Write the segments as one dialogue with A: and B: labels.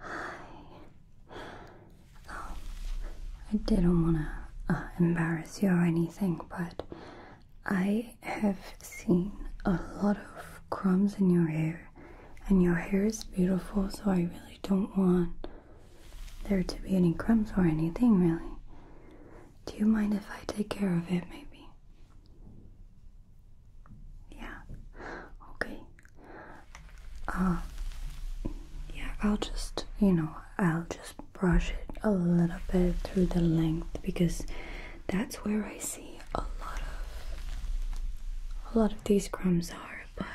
A: Um, I didn't want to uh, embarrass you or anything, but I have seen a lot of crumbs in your hair, and your hair is beautiful, so I really don't want there to be any crumbs or anything, really. Do you mind if I take care of it, maybe? Yeah. Okay. Uh yeah, I'll just, you know, I'll just brush it a little bit through the length because that's where I see a lot of a lot of these crumbs are, but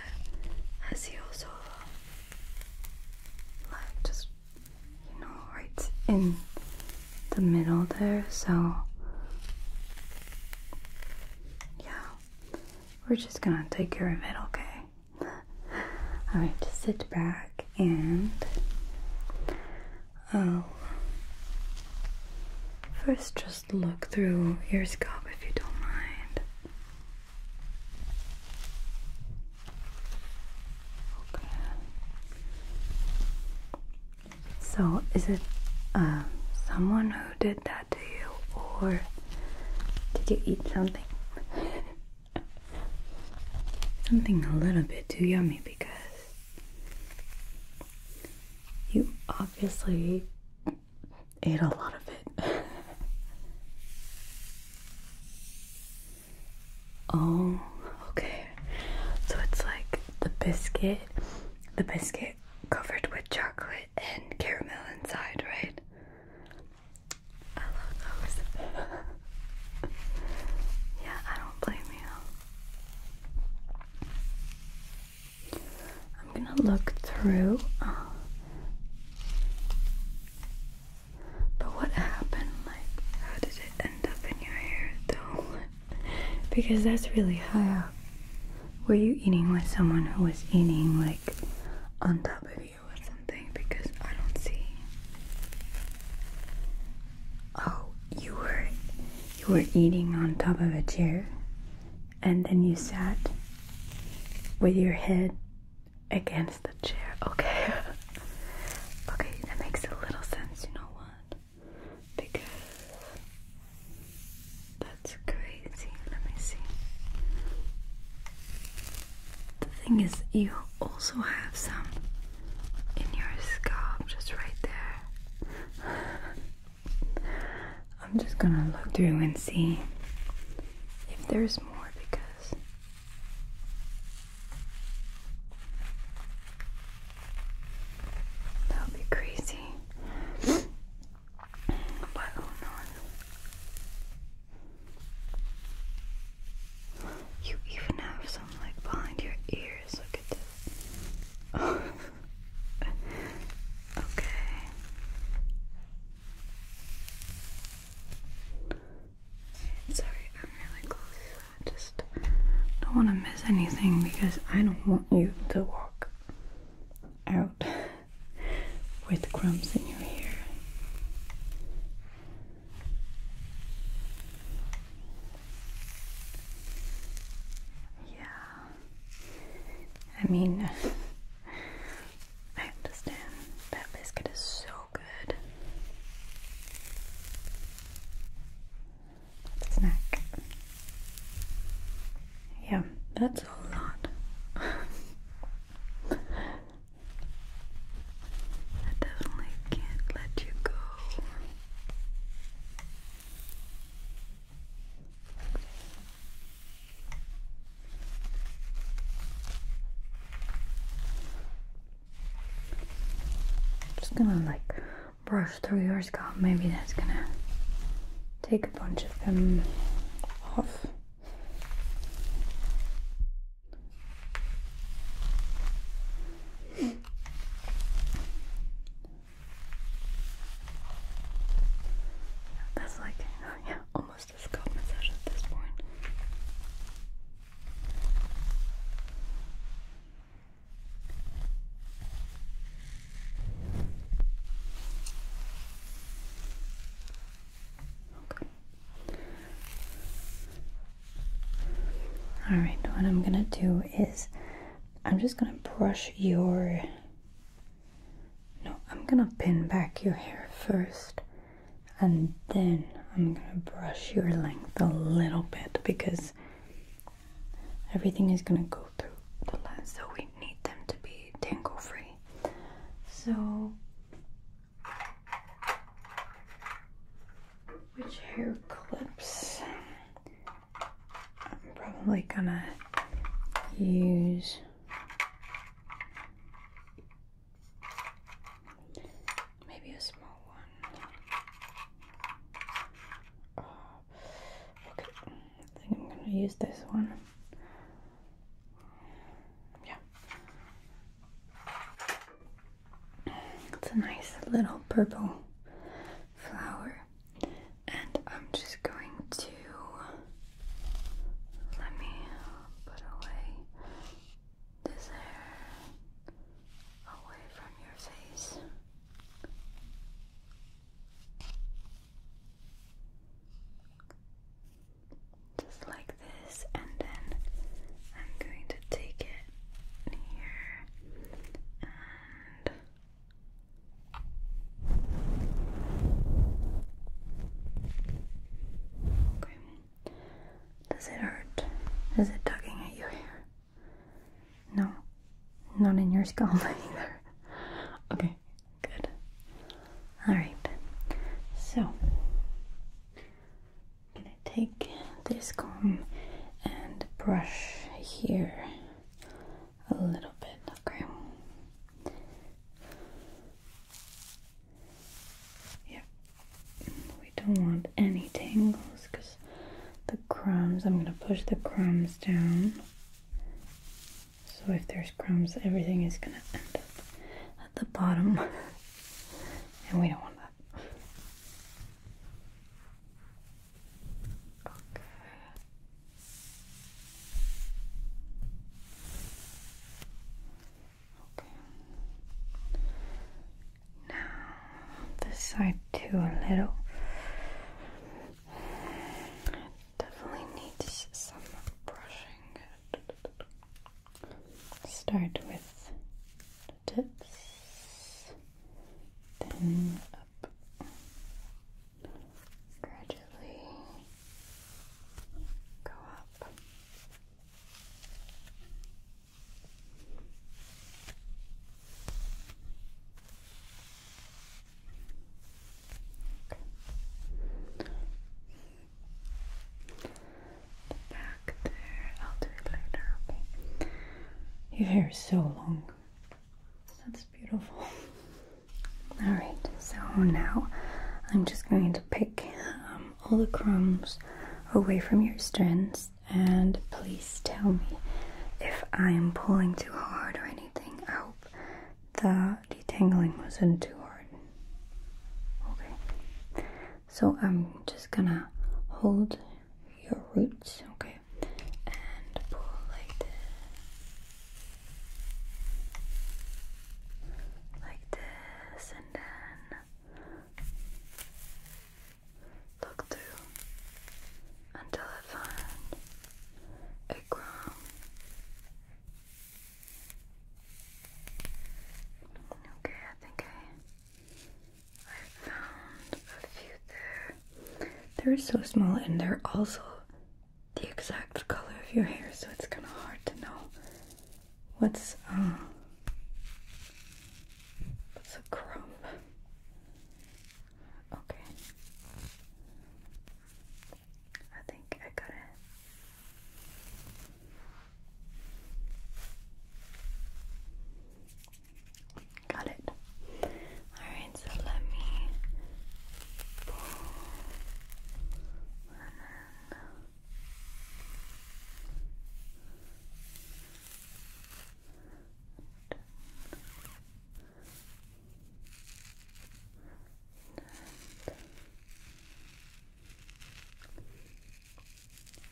A: I see also like just you know, right in the middle there, so yeah, we're just gonna take care of it, okay? Alright, just sit back and I'll um, first just look through your scalp if you don't mind. Okay. So, is it um, someone who did that to you, or did you eat something? something a little bit too yummy because you obviously ate a lot of it. oh, okay. So it's like the biscuit, the biscuit covered with chocolate and caramel inside, right? I love those. yeah, I don't blame you. I'm gonna look through. Uh, but what happened? Like, how did it end up in your hair though? because that's really high up. Were you eating with someone who was eating like on top of you or something? Because I don't see. Oh, you were you were eating on top of a chair, and then you sat with your head against the chair. Okay. okay, that makes a little sense. You know what? because that's crazy. Let me see. The thing is, you also have some in your scalp, just right there. I'm just gonna look through and see if there's more because that would be crazy. but hold on. You even have some like behind your ears. Look at this. okay. Sorry, I'm really close. I just don't want to miss anything because I don't want you to walk out with crumbs in your hair. Yeah, I mean, I understand that biscuit is so good at Yeah, that's a lot. I definitely can't let you go. I'm just gonna like brush through your scalp. Maybe that's gonna take a bunch of them off. That's like, yeah, almost a scalp massage at this point. All right, what I'm gonna do is I'm just gonna brush your. No, I'm gonna pin back your hair first and then I'm gonna brush your length a little bit because everything is gonna go through the lens, so we need them to be tangle free. So, which hair clips? I'm probably gonna use. Maybe a small one. Okay, I think I'm gonna use this one. Yeah. It's a nice little purple flower. And I'm just going to let me put away this hair away from your face. Just like this, and then I'm going to take it here Does it hurt? Is it tugging at your hair? No, not in your scalp either. Okay, good. Alright, so I'm gonna take this comb and brush here a little bit, okay? Yeah, we don't want any tangles because the crumbs. I'm going to push the crumbs down. So if there's crumbs, everything is going to end up at the bottom. and we don't want that. Okay. Okay. Now, this side too, a little. Definitely needs some brushing. Start with the tips, then up gradually go up. Okay. The back Your hair is so long. That's beautiful. Alright, so now I'm just going to pick um, all the crumbs away from your strands and please tell me if I am pulling too hard or anything. I hope the detangling wasn't too hard. Okay, so I'm just gonna hold your roots, okay, and pull like this, like this, and then Look through until I find a gram. Okay, I think I I found a few there. They're so small and they're also the exact color of your hair, so it's kinda hard to know what's uh, what's a crumb. Okay. I think I got it. Got it. Alright, so let me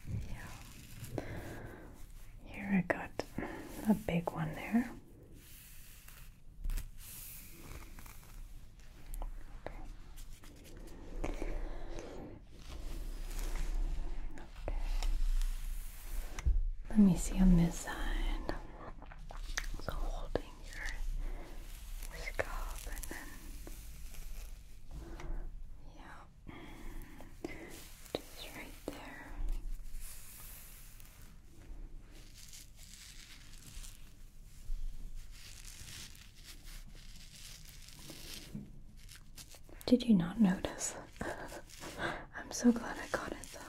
A: yeah. Here I got a big one there. Let me see on this side. So holding your scalp and then yeah, just right there. Did you not notice I'm so glad I got it though.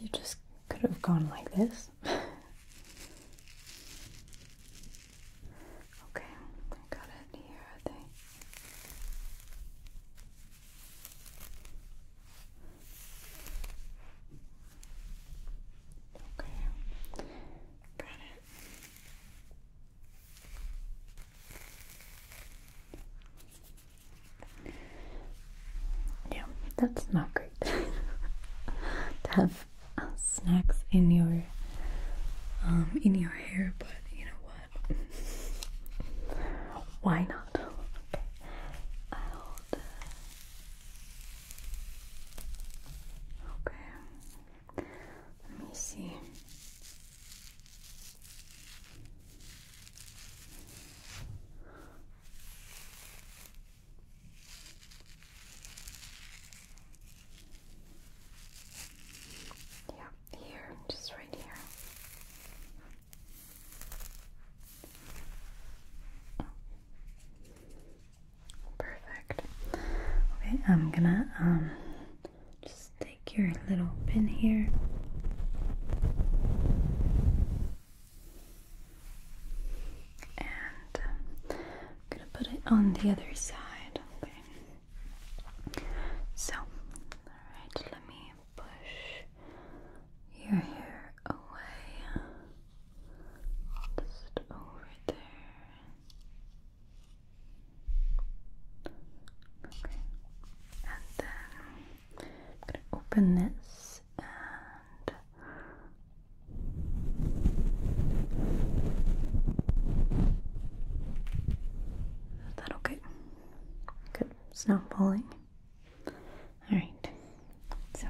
A: You just could have gone like this. okay, I got it here, Okay, got it. Yeah, that's not great to have uh, snacks in your um, in your hair, but you know what? Why not? Okay. Let me see. Yeah, here, just right here. Perfect. Okay, I'm gonna um just take your little pin here. And I'm gonna put it on the other side, okay? So, alright, let me push your hair away. Just over there. And then I'm gonna open this and is that okay? Good. It's not falling. Alright. So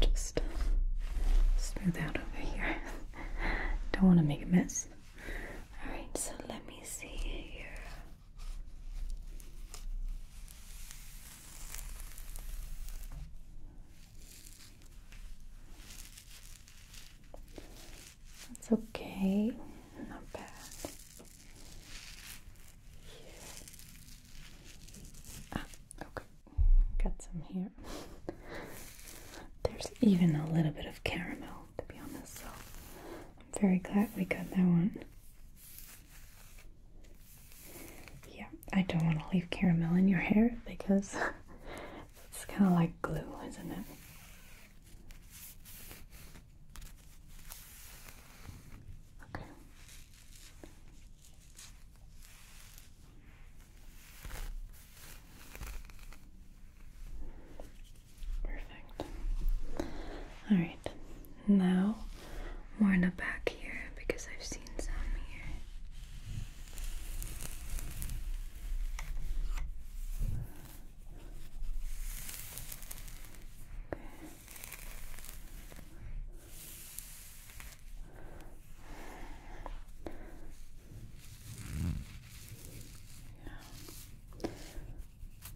A: just smooth out over Don't want to make a mess. Alright, so let me see here. That's okay, not bad. Okay, got some here. There's even a little bit of caramel, to be honest, so I'm very glad we got that one. Yeah, I don't want to leave caramel in your hair because it's kind of like glue, isn't it? Okay. Perfect. All right. Now more in the back here because I've seen some here.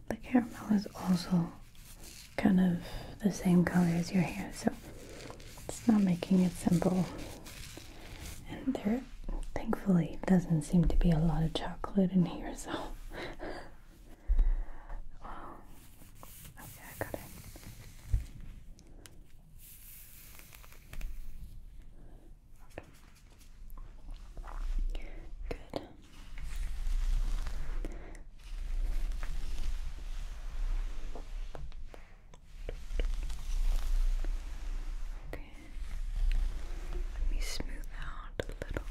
A: The caramel is also kind of the same color as your hair, so it's not making it simple. And there, thankfully, doesn't seem to be a lot of chocolate in here, so. Good. Okay. Let me smooth out a little.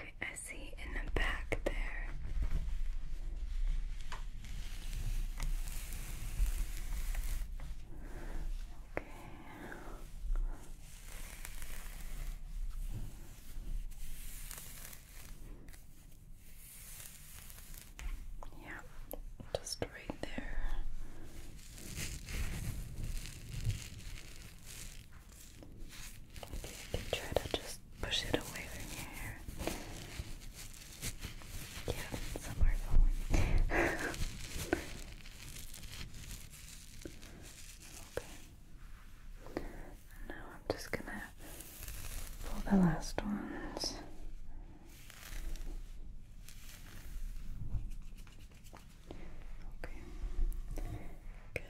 A: Okay, I see in the back there. Okay. Yeah, just right there. Okay, you can try to just push it away from your Yeah, somewhere going. okay. Now I'm just gonna pull the last ones. Okay. Good.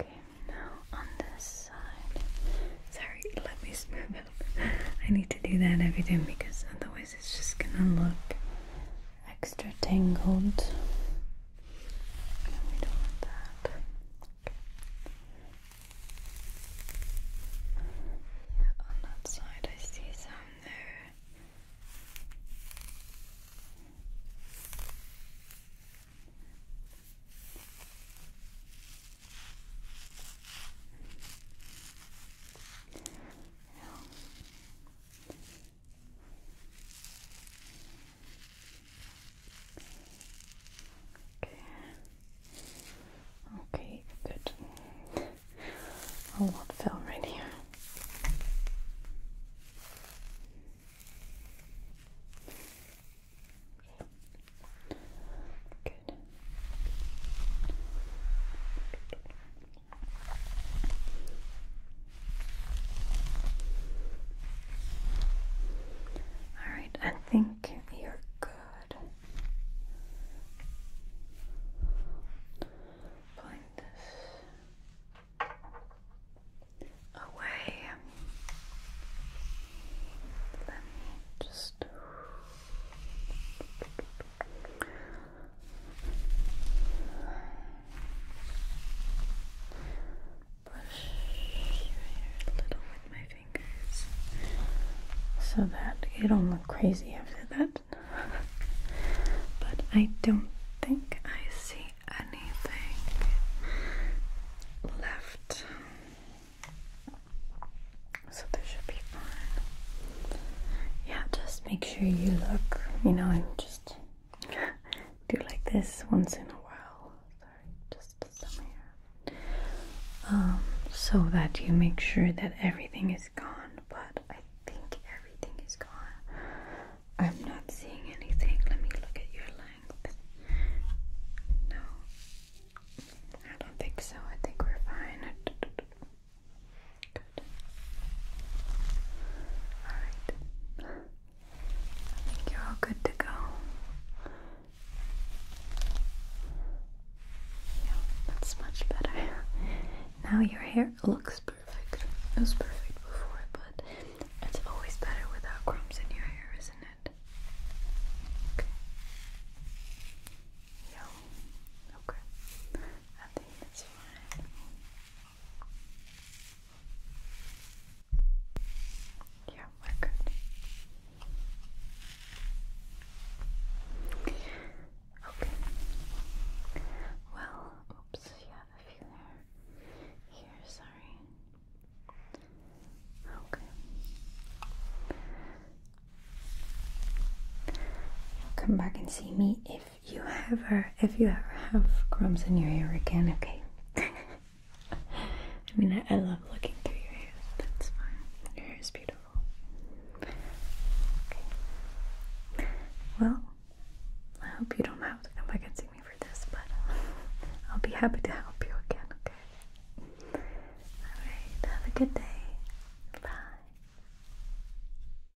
A: Okay, now on this side. Sorry, let me smooth it. I need to do that every time because otherwise it's just gonna look extra tangled. And we don't want that. Yeah, on that side I see some there. Okay, good. A lot fell right here. Good. All right, I think you're good. Point this away. Let me just Brush your hair a little with my fingers so that it don't look crazy after that. but I don't think I see anything left. So this should be fine. Yeah, just make sure you look, you know, I'm just do like this once in a while. Sorry, just some hair. Um, so that you make sure that everything is gone, but I think everything is gone. I'm not seeing anything. Let me look at your length. No, I don't think so. I think we're fine. Good. Alright. I think you're all good to go. Yeah, that's much better. Now your hair looks perfect. It was perfect before, but it's always better without crumbs in your hair, isn't it? Yeah. Okay. I think that's fine. Yeah, we're good. Okay. Well, oops, you a few there. Here, sorry. Okay. Come back and see me if you ever, if you ever have crumbs in your hair again, okay. I mean, I, love looking through your hair. That's fine. Your hair is beautiful. Okay. Well, I hope you don't have to come back and see me for this, but I'll be happy to help you again, okay? Alright, have a good day. Bye.